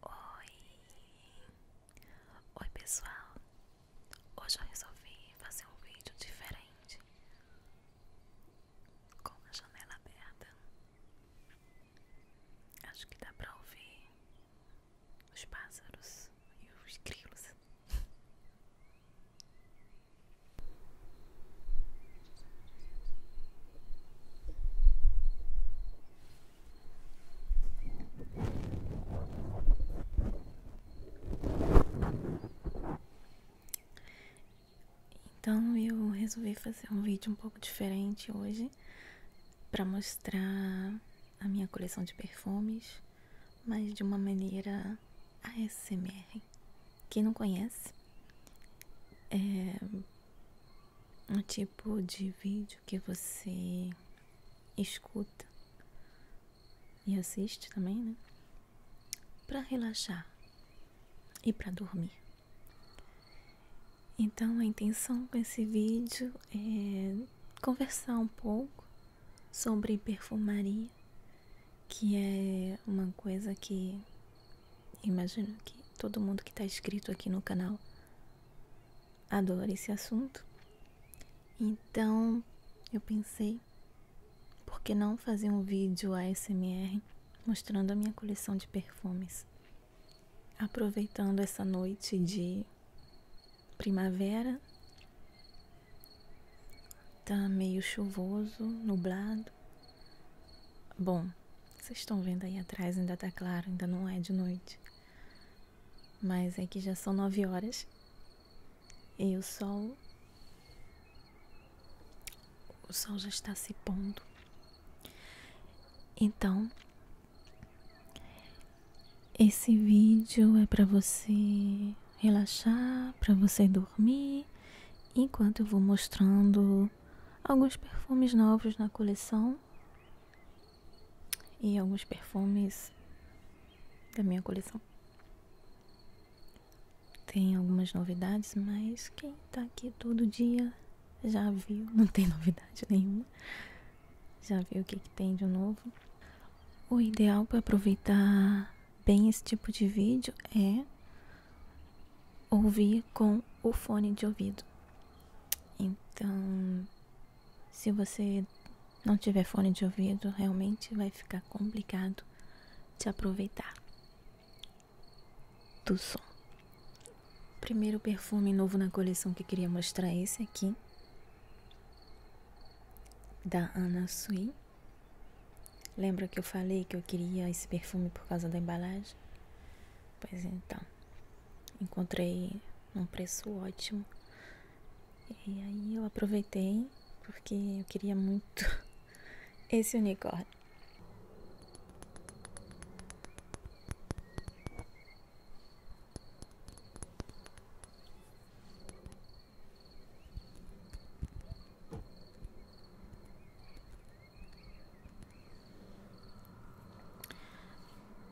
Oi! Oi pessoal! Hoje eu resolvi fazer um vídeo diferente com a janela aberta. Acho que dá pra ouvir os pássaros e os grilos. Então eu resolvi fazer um vídeo um pouco diferente hoje para mostrar a minha coleção de perfumes, mas de uma maneira ASMR. Quem não conhece, é um tipo tipo de vídeo que você escuta e assiste também, né? Para relaxar e para dormir. Então, a intenção com esse vídeo é conversar um pouco sobre perfumaria, que é uma coisa que Imagino que todo mundo que está inscrito aqui no canal adora esse assunto. Então eu pensei, por que não fazer um vídeo ASMR mostrando a minha coleção de perfumes? Aproveitando essa noite de primavera, tá meio chuvoso, nublado, Bom, vocês estão vendo aí atrás, ainda tá claro, ainda não é de noite. Mas é que já são nove horas e o sol. O sol já está se pondo. Então, esse vídeo é para você relaxar, para você dormir, enquanto eu vou mostrando alguns perfumes novos na coleção e alguns perfumes da minha coleção. Tem algumas novidades, mas quem tá aqui todo dia já viu, não tem novidade nenhuma. Já viu o que, que tem de novo. O ideal para aproveitar bem esse tipo de vídeo é ouvir com o fone de ouvido. Então, se você não tiver fone de ouvido, realmente vai ficar complicado de aproveitar do som. Primeiro perfume novo na coleção que queria mostrar é esse aqui da Anna Sui. Lembra que eu falei que eu queria esse perfume por causa da embalagem? Pois então, encontrei um preço ótimo. E aí eu aproveitei porque eu queria muito esse unicórnio.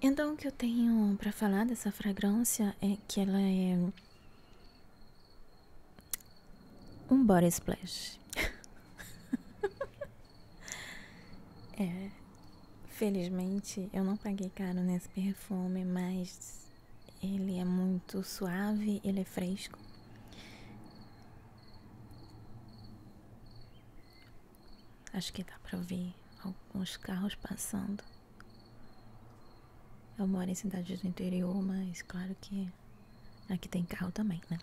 Então, o que eu tenho para falar dessa fragrância é que ela é um body splash. É, felizmente eu não paguei caro nesse perfume, mas ele é muito suave, ele é fresco. Acho que dá para ver alguns carros passando. Eu moro em cidades do interior, mas claro que aqui tem carro também, né?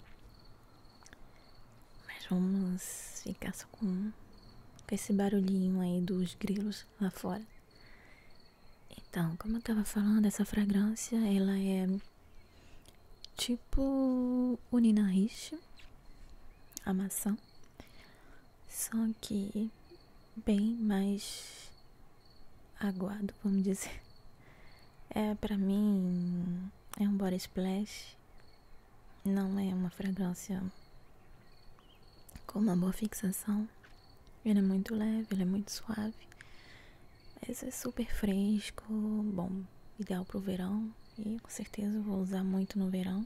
Mas vamos ficar só com esse barulhinho aí dos grilos lá fora. Então, como eu tava falando, essa fragrância, ela é Tipo o Ninahish, a maçã, só que bem mais aguado, vamos dizer. É, para mim, é um body splash. Não é uma fragrância com uma boa fixação. Ele é muito leve, ele é muito suave. Esse é super fresco, bom, ideal para o verão e com certeza eu vou usar muito no verão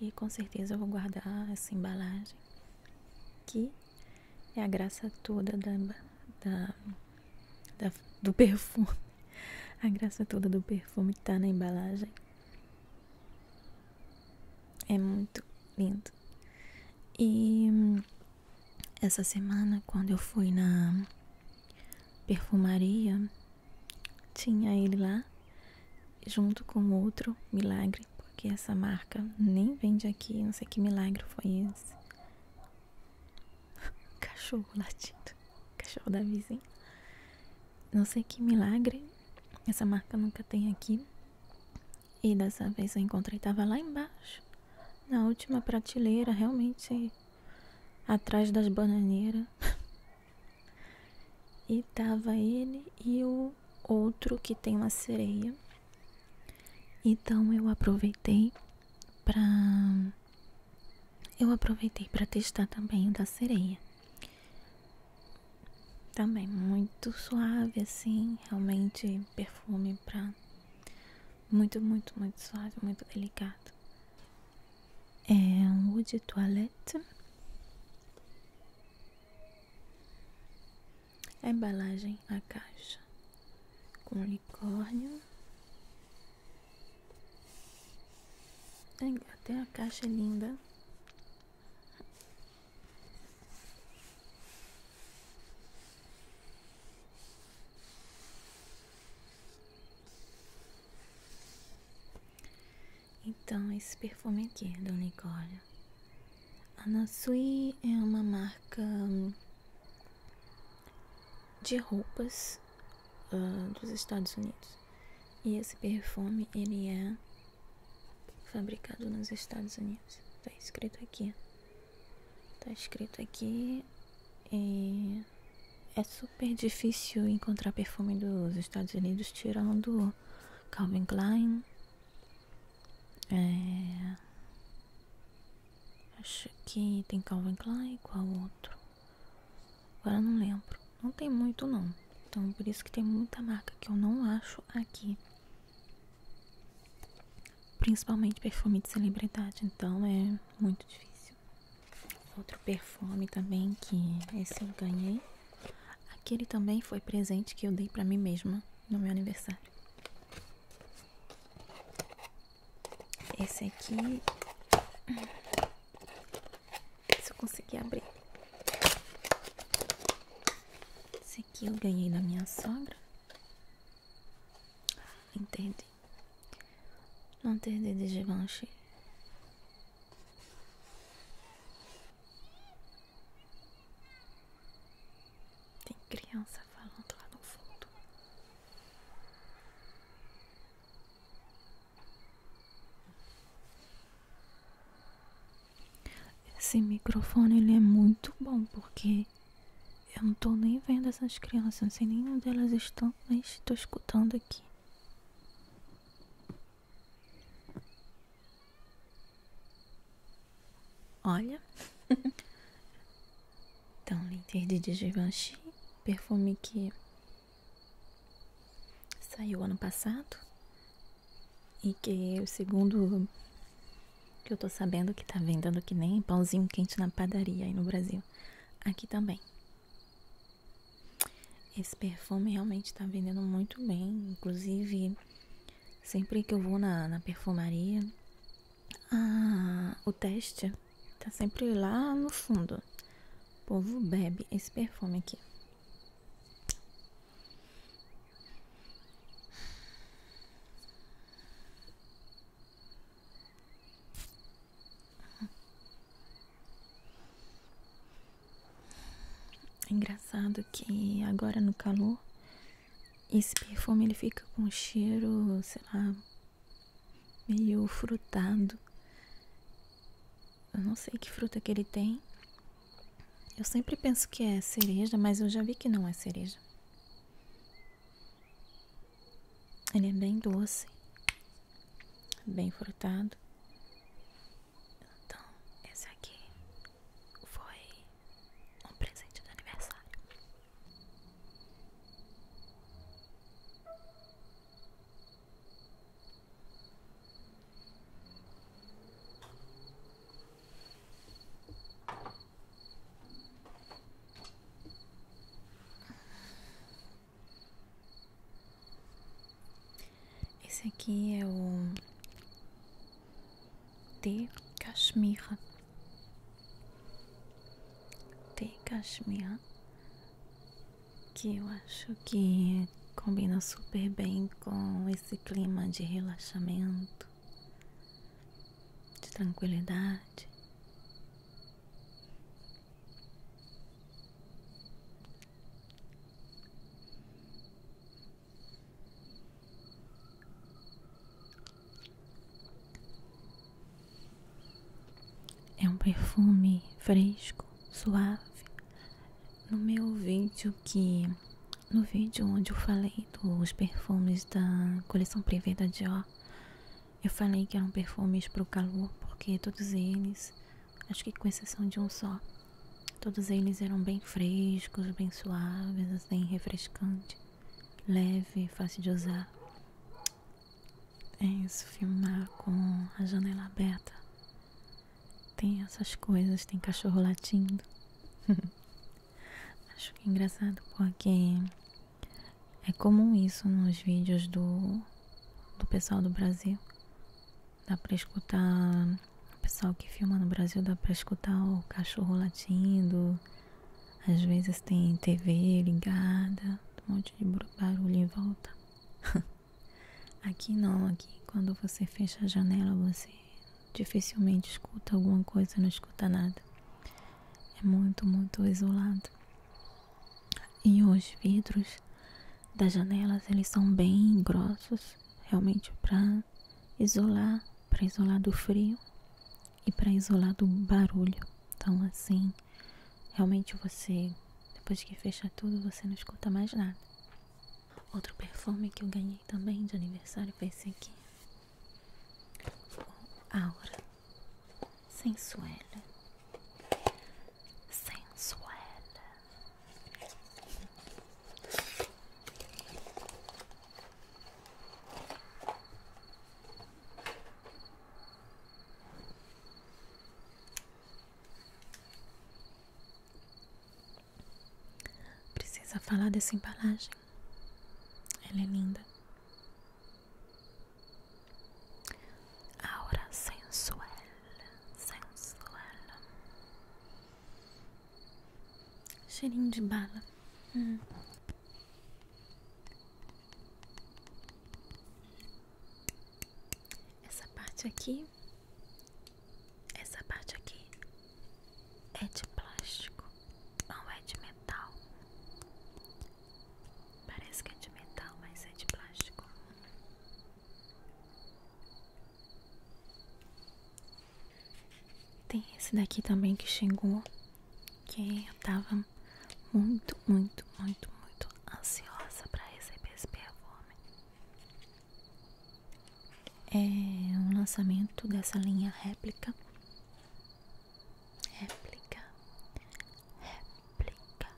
e com certeza eu vou guardar essa embalagem que é a graça toda da, da, do perfume. A graça toda do perfume está na embalagem. É muito lindo. E hum, essa semana, quando eu fui na perfumaria, tinha ele lá junto com outro milagre, porque essa marca nem vende aqui, não sei que milagre foi esse. Cachorro latindo, cachorro da vizinha. Não sei que milagre, essa marca nunca tem aqui. E dessa vez eu encontrei, tava lá embaixo na última prateleira, realmente atrás das bananeiras. e tava ele e o outro que tem uma sereia. Então eu aproveitei para eu aproveitei para testar também o da sereia. Também muito suave assim, realmente perfume para muito, muito, muito suave, muito delicado. É um Eau de Toilette. A embalagem, a caixa com unicórnio. Até a caixa linda. Então, esse perfume aqui é da Unicórnio. A Natsui é uma marca hum, de roupas dos Estados Unidos. E esse perfume, ele é fabricado nos Estados Unidos. Tá escrito aqui. Tá escrito aqui é super difícil encontrar perfume dos Estados Unidos tirando Calvin Klein. É, acho que tem Calvin Klein, qual outro? Agora não lembro. Não tem muito não. Então por isso que tem muita marca que eu não acho aqui principalmente perfume de celebridade, então é muito difícil. Outro perfume também que esse eu ganhei. Aquele também foi presente que eu dei para mim mesma no meu aniversário. Esse aqui. Se eu conseguir abrir. Esse aqui eu ganhei da minha sogra. Entendi. Não ter de Givenchy. Tem criança falando lá no fundo. Esse microfone ele é muito bom porque eu não tô nem vendo essas crianças, não sei nem onde elas estão, mas tô escutando aqui. Olha. então, Linter de Givenchy, perfume que saiu ano passado e que é o segundo que eu tô sabendo que tá vendendo que nem pãozinho quente na padaria aí no Brasil. Aqui também. Esse perfume realmente tá vendendo muito bem. Inclusive, sempre que eu vou na, perfumaria, o teste tá sempre lá no fundo. O povo bebe esse perfume aqui. É engraçado que agora no calor esse perfume ele fica com um cheiro, sei lá, meio frutado. Eu não sei que fruta que ele tem. Eu sempre penso que é cereja, mas eu já vi que não é cereja. Ele é bem doce, bem frutado. Então, esse aqui foi um presente de aniversário. Esse aqui é o te Cachemira. te Cachemira. Que eu acho que combina super bem com esse clima de relaxamento de tranquilidade. É um perfume fresco, suave. No meu vídeo que no vídeo onde eu falei feito os perfumes da coleção privê da Dior. Eu falei que eram perfumes para o calor, porque todos eles, acho que com exceção de um só, todos eles eram bem frescos, bem suaves, bem assim, refrescantes, leve, fácil de usar. É isso, filmar com a janela aberta. Tem essas coisas, tem cachorro latindo. Acho que é engraçado porque é comum isso nos vídeos do, do pessoal do Brasil. Dá pra escutar. O pessoal que filma no Brasil dá pra escutar o cachorro latindo. Às vezes tem TV ligada, um monte de barulho em volta. aqui não, aqui quando você fecha a janela você dificilmente escuta alguma coisa, não escuta nada é muito, muito isolado. E os vidros das janelas, eles são bem grossos, realmente para isolar, para isolar do frio e para isolar do barulho. Então assim, realmente você depois que fecha tudo, você não escuta mais nada. Outro perfume que eu ganhei também de aniversário foi esse aqui aura sensuela, sensuela. Precisa falar dessa embalagem. Ela é linda. Aura sensual, sensual. Cheirinho de bala. Hum. Essa parte aqui, essa parte aqui é de plástico, não é de metal. Parece que é de metal, mas é de plástico. Tem esse daqui também que chegou, que eu tava muito, muito, muito, muito ansiosa para receber esse perfume. É um lançamento dessa linha réplica réplica, réplica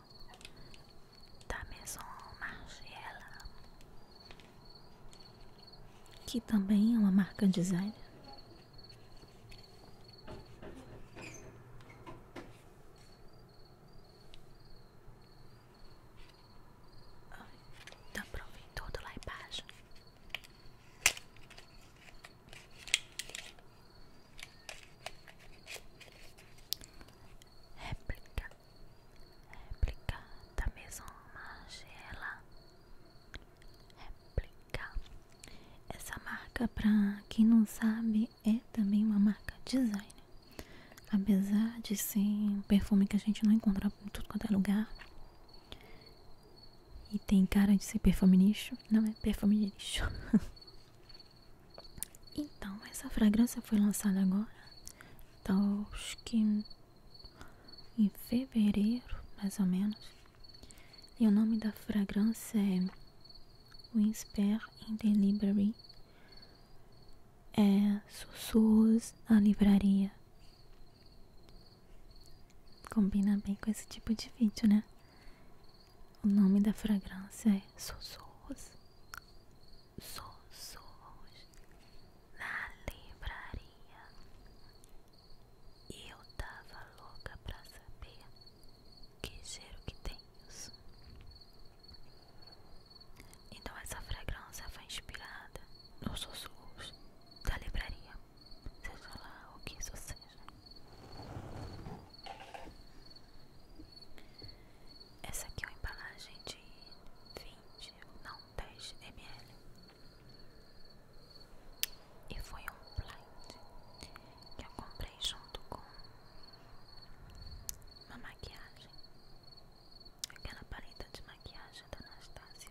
da Maison Margiela, que também é uma marca design. Dá pra ouvir tudo lá embaixo. Réplica, réplica da mesma Magela. Réplica. Essa marca, pra quem não sabe, é também uma marca design, Apesar de ser um perfume que a gente não encontra em tudo quanto é lugar, e tem cara de ser perfume lixo, não é perfume lixo. então, essa fragrância foi lançada agora, tá, acho que em fevereiro, mais ou menos. E o nome da fragrância é Whisper in the Library. É Sussurros na Livraria. Combina bem com esse tipo de vídeo, né? O nome da fragrância é Sussurros. Sussurros na livraria. E eu tava louca pra saber que cheiro que tem isso. Então essa fragrância foi inspirada nos sussurros da livraria seja lá o que isso seja. Essa aqui é uma embalagem de 20, não 10 ml. E foi um blind que eu comprei junto com uma maquiagem. Aquela paleta de maquiagem da Anastasia.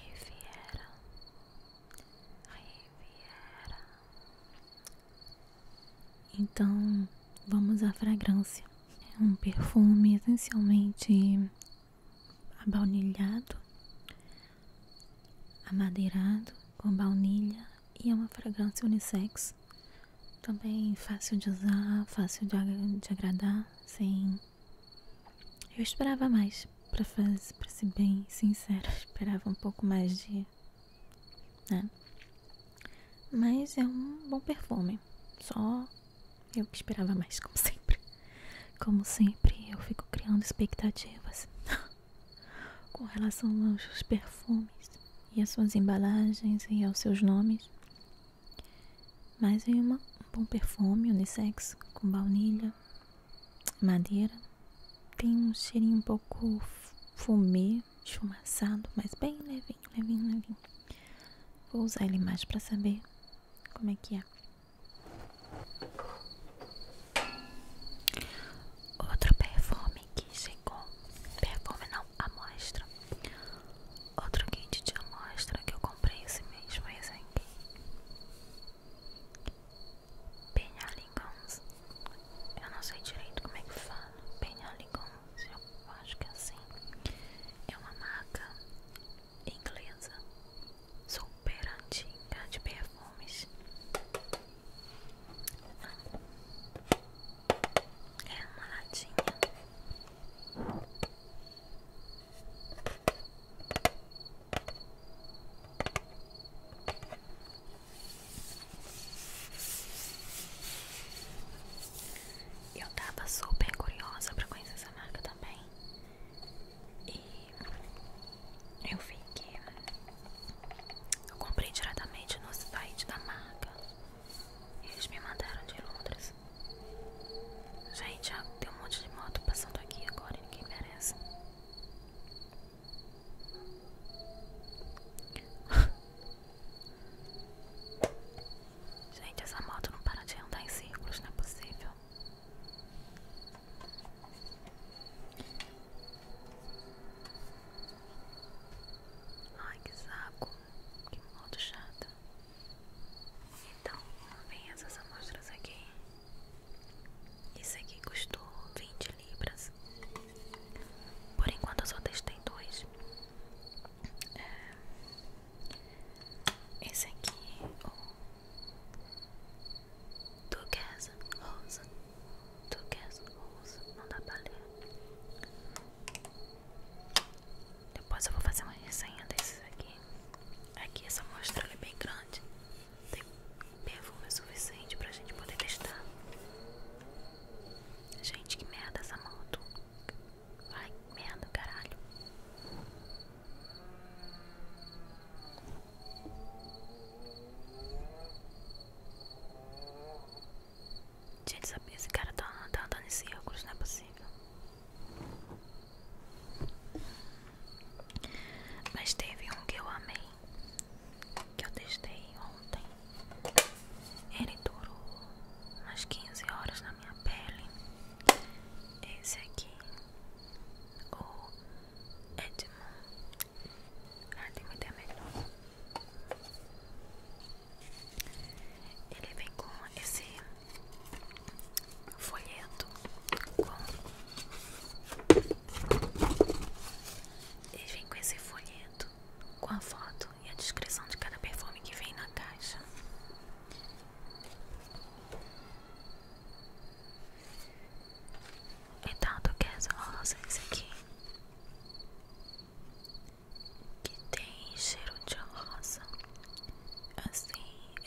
Riviera, Riviera. Então, vamos à fragrância. É um perfume essencialmente abaunilhado, amadeirado com baunilha e é uma fragrância unissex também fácil de usar, fácil de, agradar, sem. Eu esperava mais, para fazer, para ser bem sincero, esperava um pouco mais de, né? Mas é um bom perfume, só eu que esperava mais, como sempre. Como sempre, eu fico criando expectativas com relação aos perfumes e às suas embalagens e aos seus nomes. Mais vem uma, um bom perfume unissex com baunilha, madeira. Tem um cheirinho um pouco fumê, esfumaçado, mas bem levinho, levinho, levinho. Vou usar ele mais para saber como é que é. Outro perfume que chegou. Perfume não, amostra. Outro kit de amostra que eu comprei esse mês foi esse aqui. Penhaligons. Eu não sei direito como é que fala. Penhaligons, eu acho que é assim. É uma marca inglesa super antiga de perfumes. É uma latinha eu estava super curiosa para conhecer essa marca também. E eu vi que eu comprei diretamente no site da marca. Eles me mandaram de Londres. Gente, ah, tem um monte de moto passando aqui agora e ninguém merece. Gente, essa moto não para de andar em círculos, não é possível. Ai, que saco. Que moto chata. Então, vem essas amostras aqui. Isso aqui custou 20 libras. Por enquanto eu só testei dois. É, esse aqui, o Turquesa Rosa. Turquesa Rosa, não dá pra ler. Depois eu vou fazer uma resenha desses aqui. Aqui essa amostra é bem grande. Tem perfume suficiente pra gente poder testar. Gente, que merda essa moto. Vai que merda, caralho. Gente, sabia? Esse cara tá, tá andando em círculos, não é possível. Mas teve um que eu amei, que eu testei ontem. Ele durou umas 15 horas na minha pele. Esse aqui, o Edmund. Ah, tem muita melhor. Ele vem com esse folheto com ele vem com esse folheto com a foto e a descrição de cada perfume que vem na caixa. Então tu quer essa rosa, esse aqui? que tem cheiro de rosa. Assim,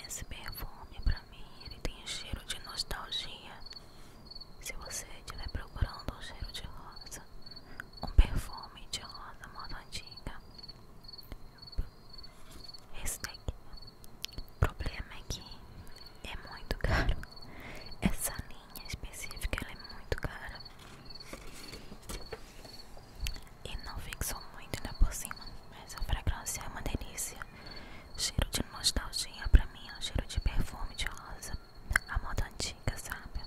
esse perfume pra mim, ele tem cheiro de nostalgia. Se você estiver procurando um cheiro de rosa, um perfume de rosa moda antiga, esse daqui. O problema é que é muito caro. Essa linha específica é muito cara. E não fixou muito ainda né, por cima, mas o fragrância é uma delícia. Cheiro de nostalgia pra mim é um cheiro de perfume de rosa. A moda antiga, sabe?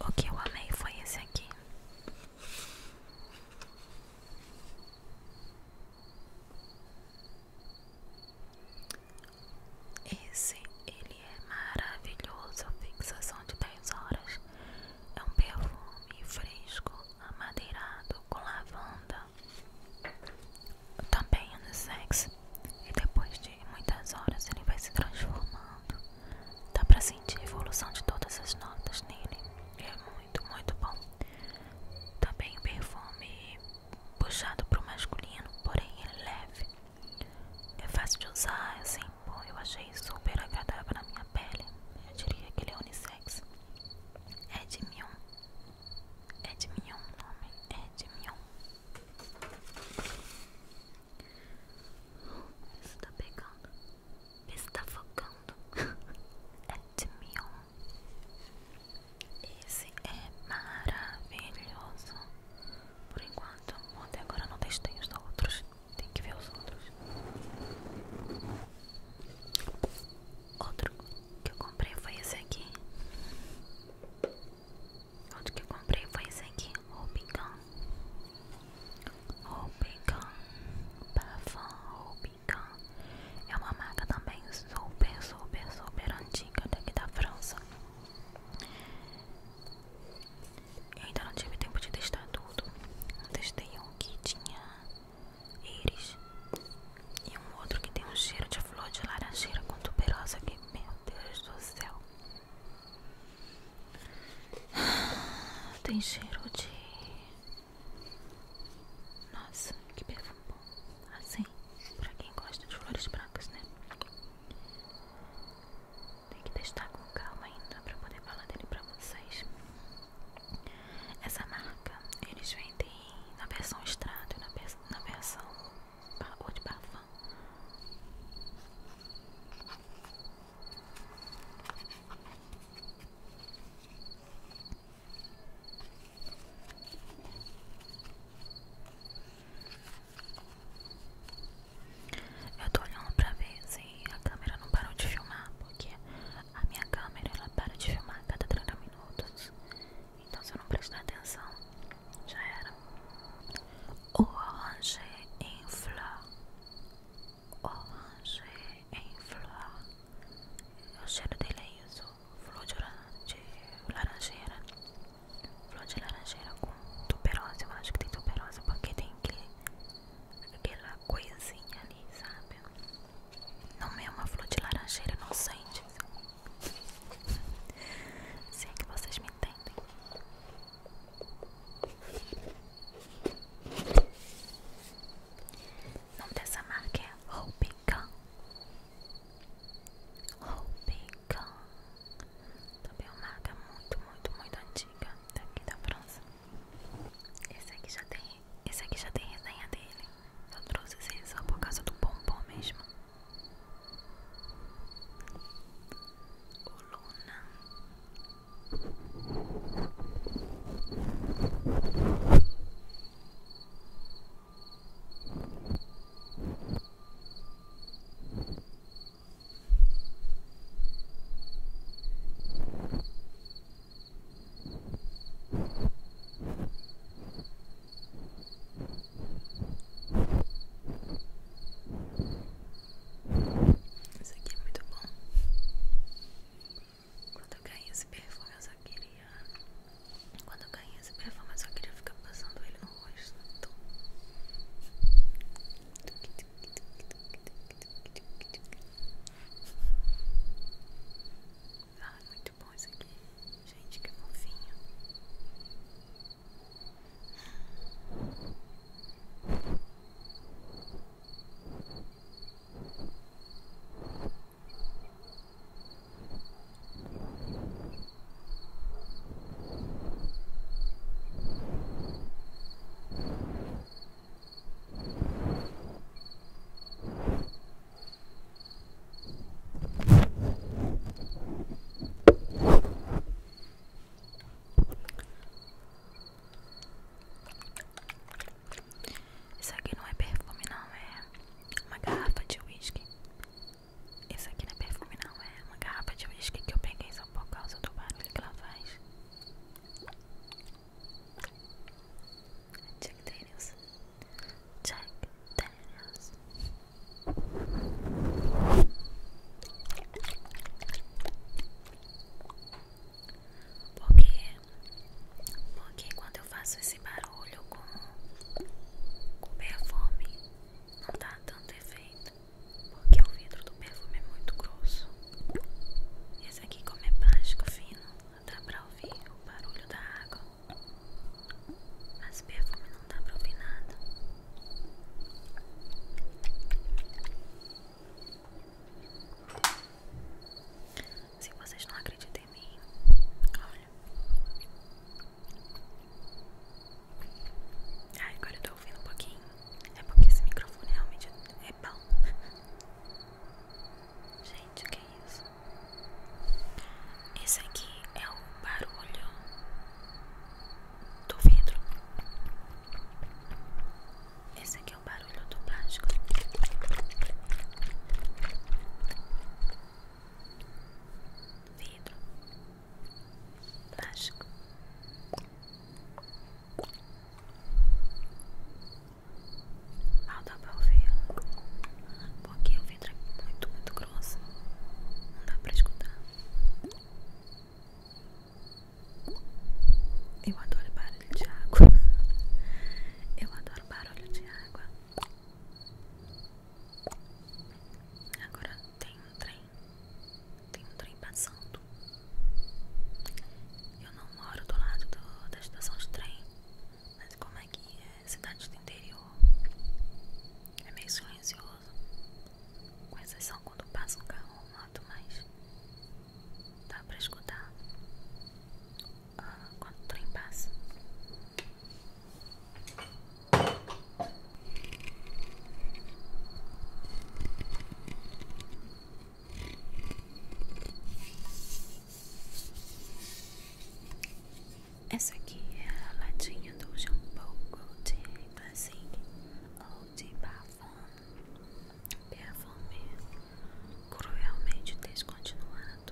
O que eu amei foi esse aqui. Esse, ele é maravilhoso, fixação de 10 horas. É um perfume fresco, amadeirado, com lavanda. Também é no sexo. E depois de muitas horas ele vai se transformando. Dá pra sentir a evolução de todas as notas nele. É muito, muito bom. Também o perfume puxado para o masculino, porém ele é leve. É fácil de usar, assim, pô, eu achei super agradável na minha pele. Eu diria que ele é unissex. É de Mion. É de Mion o nome. É de Mion. Isso tá pegando. Isso tá focando. é de Mion. Esse é maravilhoso. Por enquanto, até agora não testei os outros. Tem que ver os outros. Outro que eu comprei foi esse aqui. Outro que eu comprei foi esse aqui. o Gun. o Gun. Parfum Robin Gun. É uma marca também super, super, super antiga daqui da França. Eu ainda não tive tempo de testar tudo. Eu testei um que tinha íris e um outro que tem um cheiro de flor de laranjeira com contuberosa que, meu Deus do céu. Tem cheiro de. Nossa, que perfume assim, pra quem gosta de flores brancas, né? Tem que testar com calma ainda pra poder falar dele pra vocês. Essa marca, eles vendem na versão extrato e na, vers na versão ou de parfum. Eu tô olhando pra ver se a câmera não parou de filmar, porque a minha câmera ela para de filmar a cada 30 minutos. Então se eu não prestar atenção, já era. Orange em flor. Orange em flor. O cheiro dele é isso flor de, laranjeira, flor de laranjeira com tuberosa, eu acho que tem tuberosa porque tem que, aquela coisinha ali, sabe? Não é uma flor de laranjeira inocente, se é que vocês me entendem. O nome dessa marca é Rubicon. Loubican Também é uma marca muito, muito, muito antiga Daqui da França Esse aqui já tem Esse aqui já tem resenha dele Só trouxe esse só por causa do bombom mesmo O Luna isso aqui é muito bom. Quando eu ganhei esse perfume, eu só queria quando eu ganhei esse perfume, eu só queria ficar passando ele no rosto. Ah, muito bom isso aqui. Gente, que fofinho. Hum. Isso aqui não é perfume, não, é uma garrafa de uísque. Isso aqui não é perfume não, é uma garrafa de whisky que eu peguei só por causa do barulho que ela faz. Jack Daniels. Jack Daniels. Porque, porque quando eu faço esse barulho barulho com, com perfume não dá tanto efeito, porque o vidro do perfume é muito grosso. e Esse aqui, como é plástico fino, dá pra ouvir o barulho da água, mas perfume não dá pra ouvir nada. Se vocês não acreditam até Olha. agora eu tô ouvindo um pouquinho. É porque esse microfone realmente é bom. Gente, o que é isso? Esse aqui é o barulho do vidro. Esse aqui é o barulho do plástico vidro, plástico. Mal dá pra ouvir, porque o vidro é muito, muito grosso, não dá pra escutar. Eu adoro barulho de água. Eu adoro barulho de água. Agora tem um trem, tem um trem passando. Eu não moro do lado da estação de trem, mas como é que é cidade do interior? É meio silencioso, com exceção quando passa um carro ou moto, mas dá pra escutar ah, quando o passa. Essa aqui é a latinha do shampoo Gold Classic ou de Parfum. Perfume cruelmente descontinuado.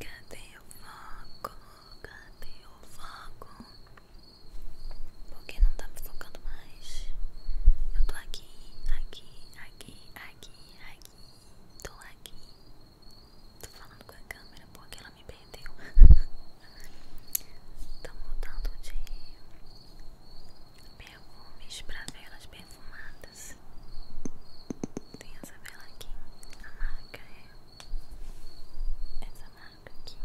Cadê o fogo? Cadê o fogo? Porque não tá me focando mais. Eu tô aqui, aqui, aqui, aqui, aqui. Tô aqui. Tô falando com a câmera porque ela me perdeu. Tô mudando de perfumes pra velas perfumadas. Tem essa vela aqui. A marca é. Essa marca água aqui.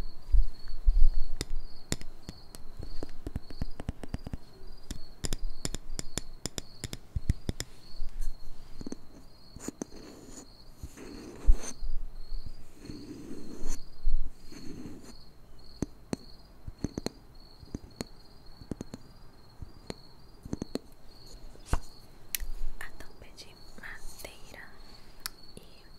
A tampa de madeira e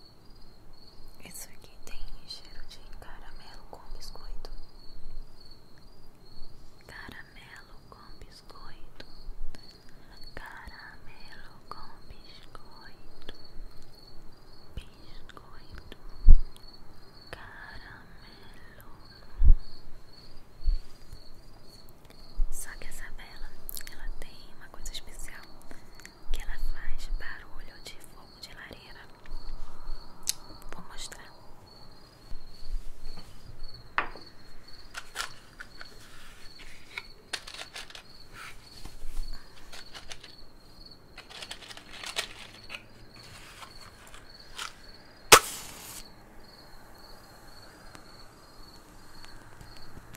isso aqui tem cheiro de caramelo com biscoito. Caramelo com biscoito. Caramelo com biscoito. Biscoito. Caramelo. Só que essa vela, ela tem uma coisa especial que ela faz barulho de fogo de lareira. Vou mostrar.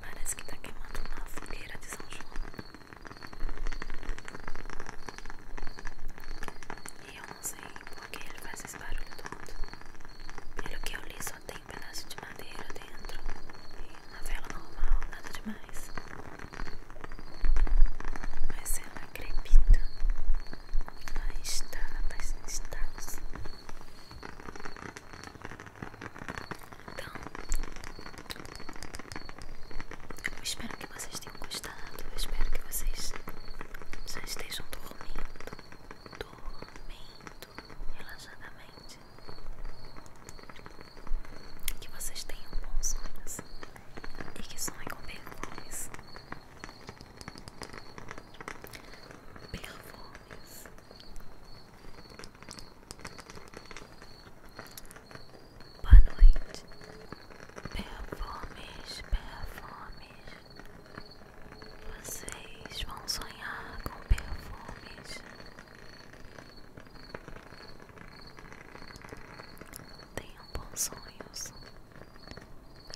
Parece que tá queimando uma fogueira de São João. E eu não sei que ele faz esse barulho todo. Pelo que eu li, só tem pedaço de madeira dentro. E uma vela normal, nada demais. Mas ela crepita. Ela está, ela está, está. Então, eu espero que vocês tenham gostado. Eu espero que vocês já estejam dormindo, dormindo relaxadamente. Que vocês tenham bons sonhos e que sonhem com perfumes. Perfumes. Boa noite, perfumes performes. Vocês vão sonhar com perfumes. Tenham bons sonhos.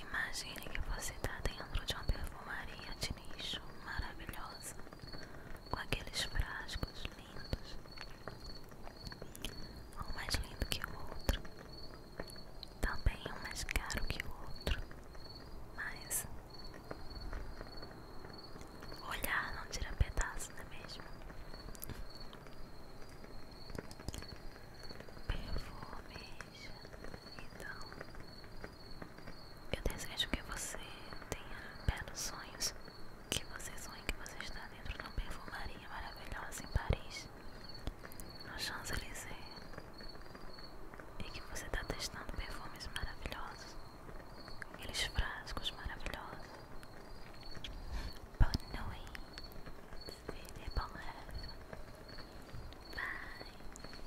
Imagine que você está dentro de uma perfumaria de nicho maravilhosa com aqueles frascos lindos, um mais lindo que o outro, também um mais caro que o outro, mas olhar não tira pedaço, não é mesmo? Perfume então, eu desejo que você tenha belos sonhos. Que você sonhe que você está dentro de uma perfumaria maravilhosa em Paris, no Champs-Élysées, e que você está testando perfumes maravilhosos, aqueles frascos maravilhosos. Boa noite, filha, bom Bye.